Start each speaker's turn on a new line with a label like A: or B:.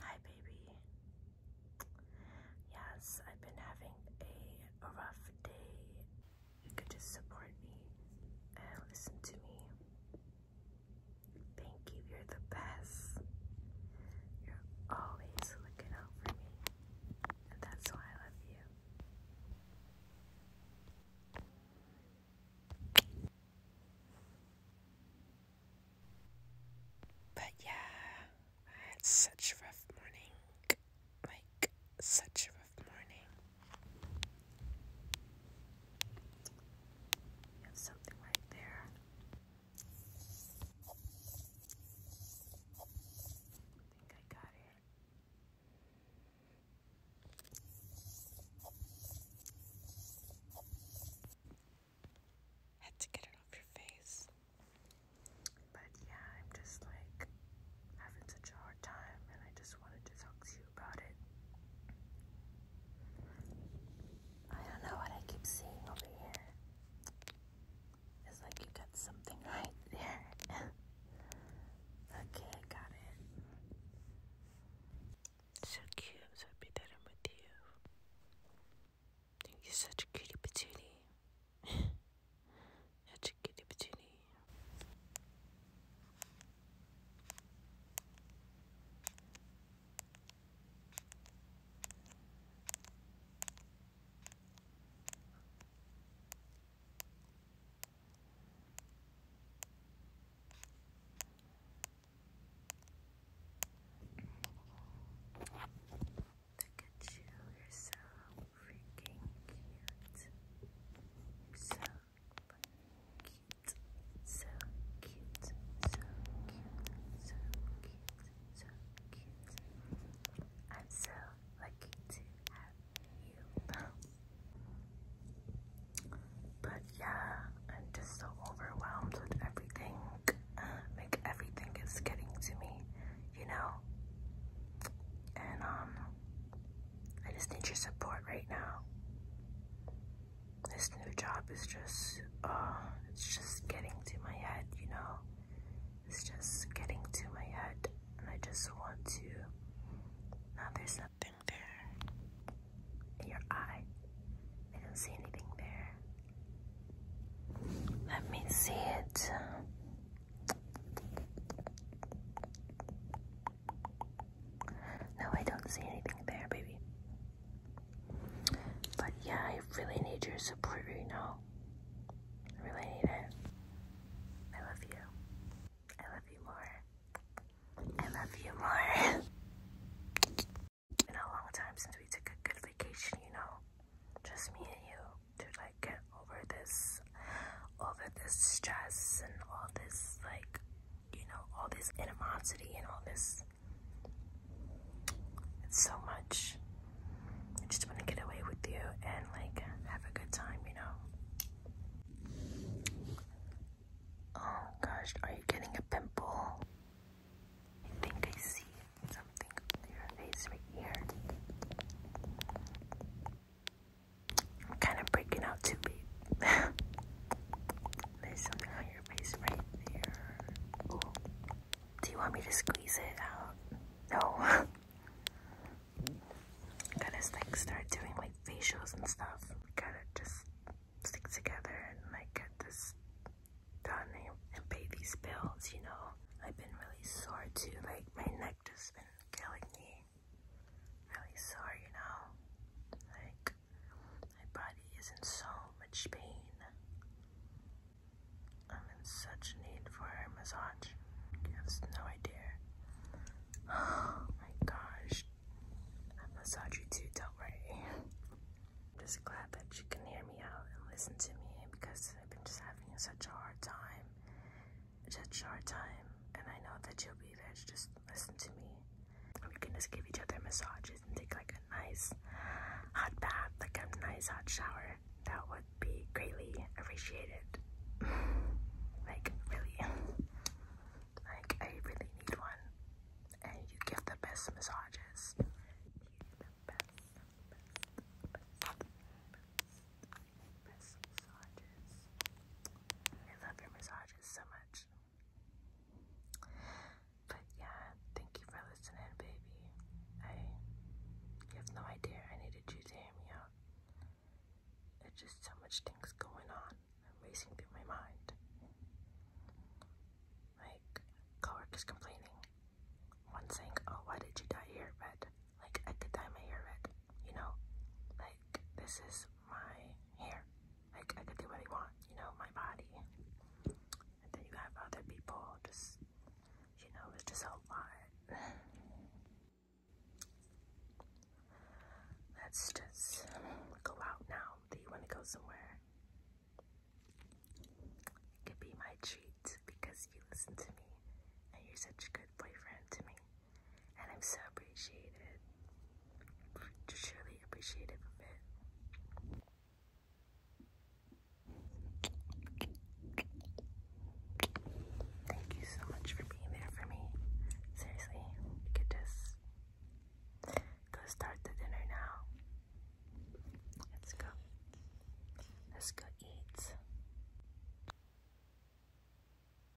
A: Hi, baby. Yes, I've been having a rough day you could just support me and listen to me. Thank you, you're the best. You're always looking out for me, and that's why I love you. But yeah, I such a rough morning. Like, such Sabbath morning. You something right there. I think I got it. Had to get it off your face. But yeah, I'm just like having such a hard time, and I just wanted to talk to you about it. I don't know what I keep seeing over here. It's like you got something right there. okay, I got it. So cute, so happy that I'm with you. I you such a cutie patootie. chickity pichini. Look at you, you're so freaking cute. so cute, so cute, so cute, so cute, so cute. I'm so lucky to have you. But yeah, I'm just so overwhelmed with everything. Like everything is getting to me, you know? And um I just need your support right now. This new job is just, uh, it's just getting to my head, you know? It's just getting to my head, and I just want to. Now there's something there your eye. I don't see anything there. Let me see it. No, I don't see anything there, baby. But yeah, I really need your support right now. I really need it. I love you. I love you more. I love you more. it's been a long time since we took a good vacation, you know. Just me and you to like get over this over this stress and all this like you know all this animosity and all this it's so much I just want to get away with you and like have a good time you know oh gosh are you getting a pimple I think I see something on your face right here I'm kind of breaking out too, babe. There's something on your face right there. Ooh. Do you want me to squeeze it out? No. gotta like start doing like facials and stuff. gotta just stick together and like get this done and pay these bills, you know. I've been really sore too. Like my neck just been killing me really sorry, you know? Like, my body is in so much pain. I'm in such need for a massage. You have no idea. Oh my gosh. I massage you too, don't worry. I'm just glad that you can hear me out and listen to me because I've been just having such a hard time such short time, and I know that you'll be there to just listen to me. We can just give each other massages and take like a nice hot bath, like a nice hot shower. That would be greatly appreciated. like, really. Like, I really need one. And you give the best massages massages. I love your massages so much. But yeah, thank you for listening, baby. I you have no idea I needed you to hear me out. There's just so much things going on and racing through my mind. Like coworkers complaining. One saying, Oh, why did you dye your hair red? Like I could dye my hair red you know, like this is my hair. Like I could do what I want, you know, my body. And then you have other people just, you know, it's just a lot. Let's just go out now. Do you want to go somewhere? It could be my treat because you listen to me and you're such a good boyfriend to me and I'm so appreciated, just truly appreciative it. Thank you so much for being there for me. Seriously, you could just go start the dinner now. Let's go. Let's go eat.